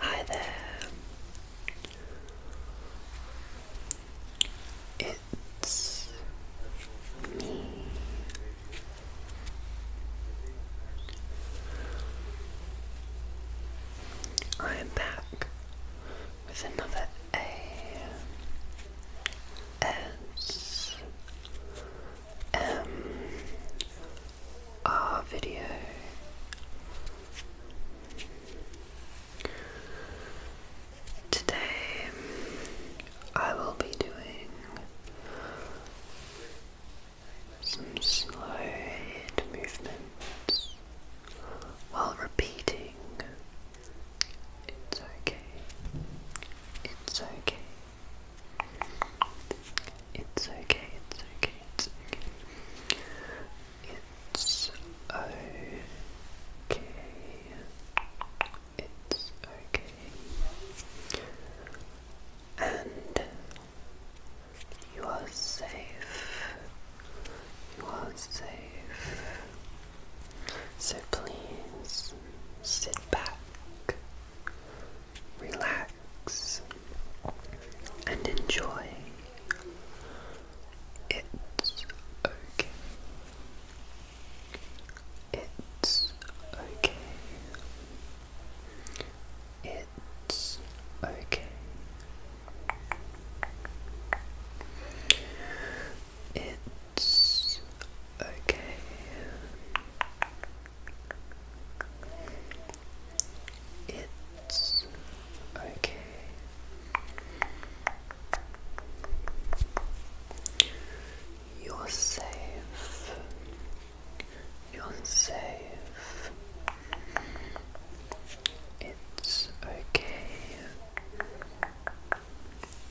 Hi there. It's me. I am back with another A S um, our video. Today I will be doing some slow head movements while repeating it's okay. It's okay. It's okay. It's okay. It's okay. It's okay. It's okay. And you are safe. You are safe. So please sit back, relax, and enjoy. It's okay. It's okay. It's okay. It's okay. It's okay. You're safe. You're safe. It's okay.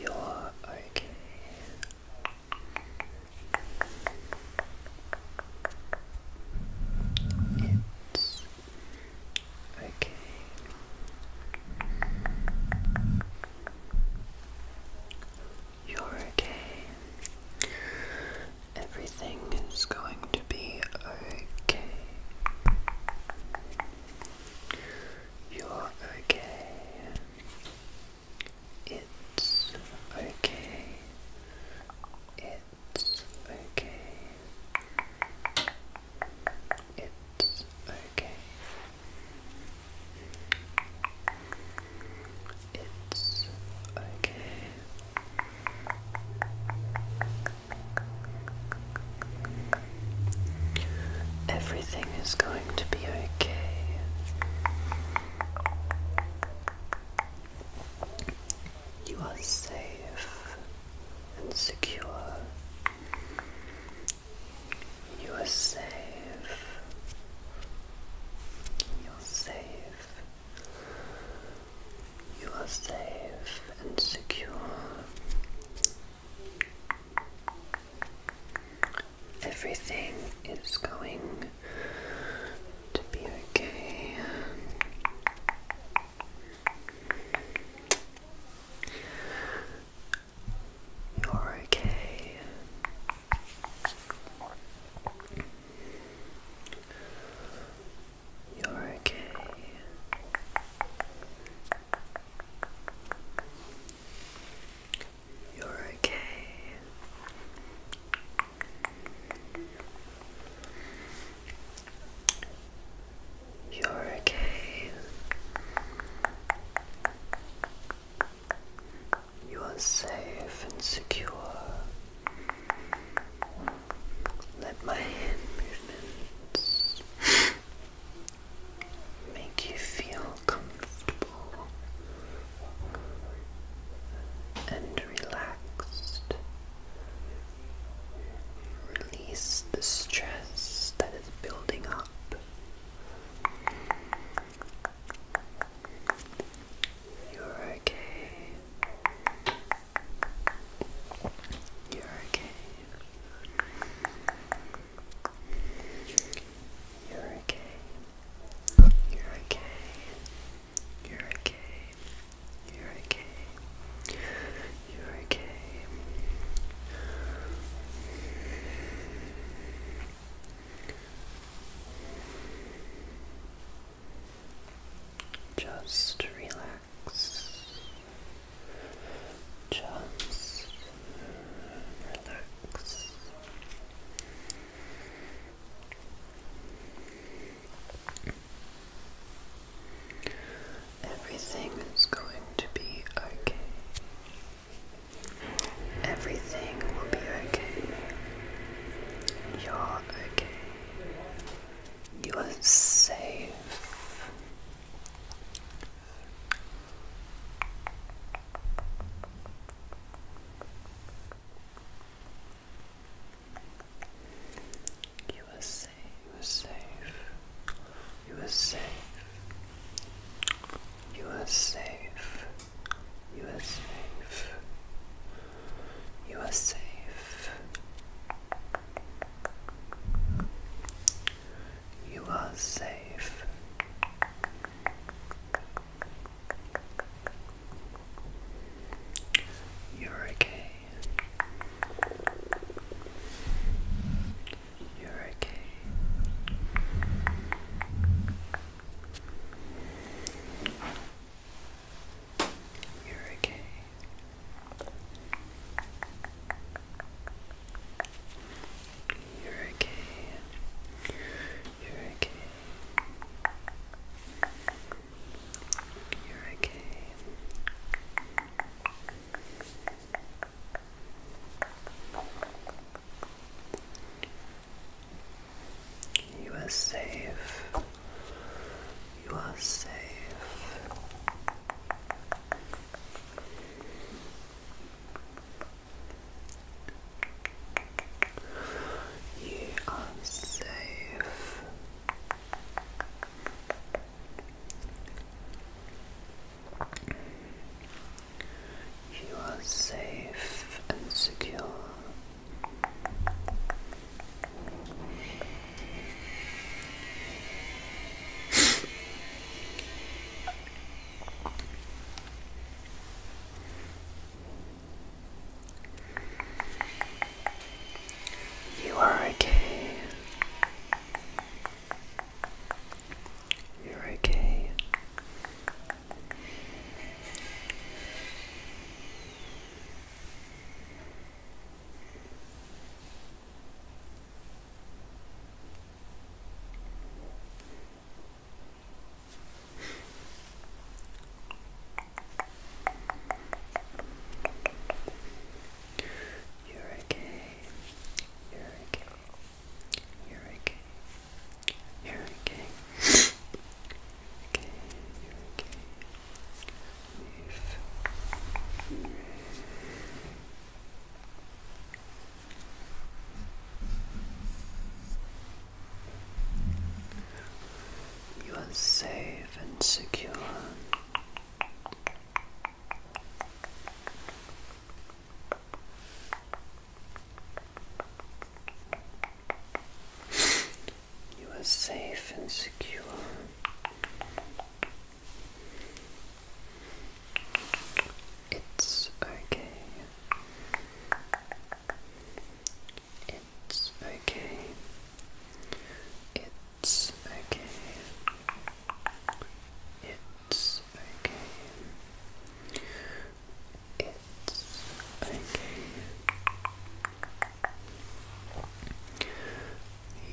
You're okay. It's okay. You're okay. Everything is going to be okay. You're okay. It's okay. It's okay. It's okay. It's okay. It's okay. Everything is going to be okay. You are safe and secure. You are safe. You're safe. You are safe and secure. Everything is going to be okay. You're okay. You're okay. You're okay. You're okay. You are safe and secure. Let my hand movements make you feel comfortable and relaxed. Release the stress that is building up. You're okay. You're okay. You're okay. You're okay. You're okay. You're okay. You're okay. Just relax. Just relax. Everything is going to be okay. Everything will be okay. You're okay. You are safe. You were safe, you were safe, you were safe, you were safe, you were safe, you were safe, you are safe. You're okay. You're okay. You're okay. You're okay. You're okay. You're okay. You are safe. You are safe. You are safe. You are safe and secure. You are okay. You're okay. You're okay. You're okay. You're okay. You're okay. okay, you're okay. Move. You are safe and secure. You are safe and secure. It's okay. It's okay. It's okay. It's okay. It's okay.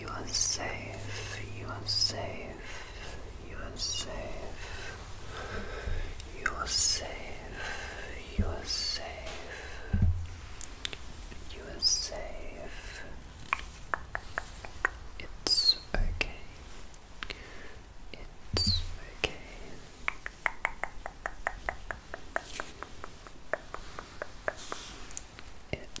You are safe. You are safe. You are safe. You are safe. You are safe. You are safe. It's okay. It's okay. It's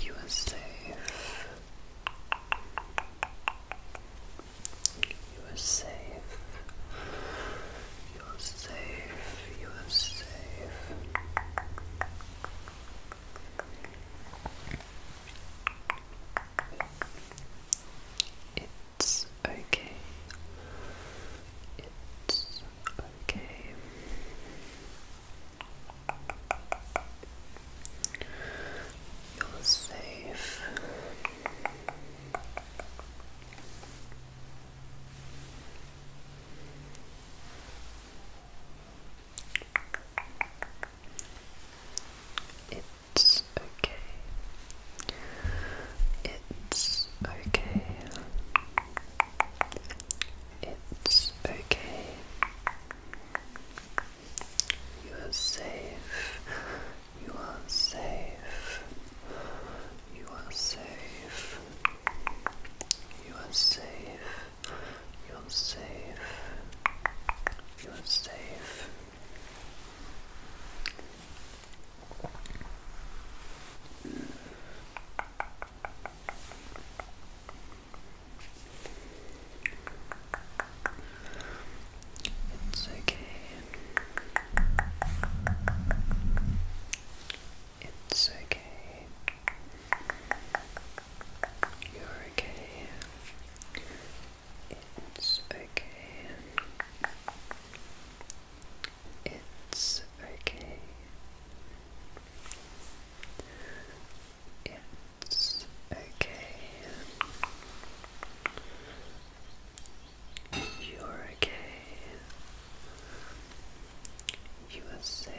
You are safe. You are safe. You are safe. You are safe. It's okay. It's okay. You're safe. It's okay. It's okay. It's okay. You are safe. You are safe. You are safe. You are safe. You are safe. You are safe. It's okay. It's okay. You're okay. It's okay. It's okay. It's okay. You're okay. You are safe.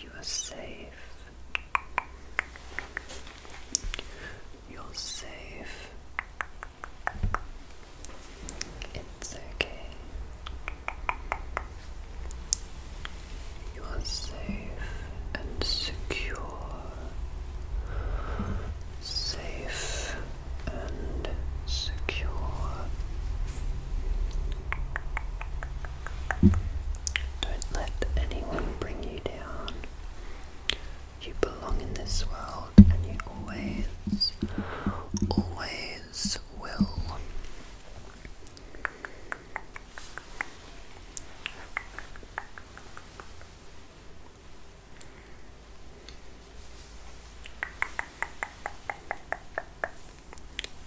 You are safe. You're safe. It's okay. You are safe and secure. Safe and secure. Don't let anyone bring you down. You belong in this world and you always, always his will.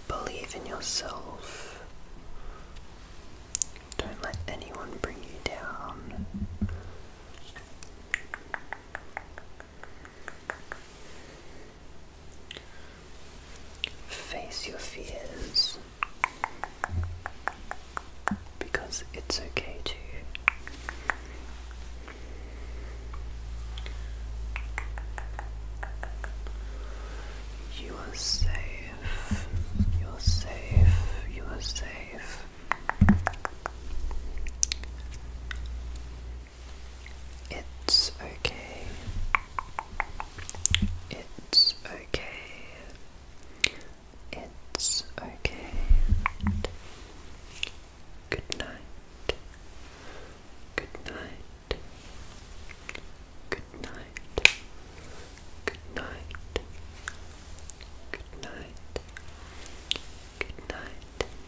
Believe in yourself. Don't let anyone bring you down. Face your fears because it's okay to. You are safe, you're safe, you are safe. It's okay. It's okay. It's okay. Good night. Good night. Good night. Good night. Good night. Good night.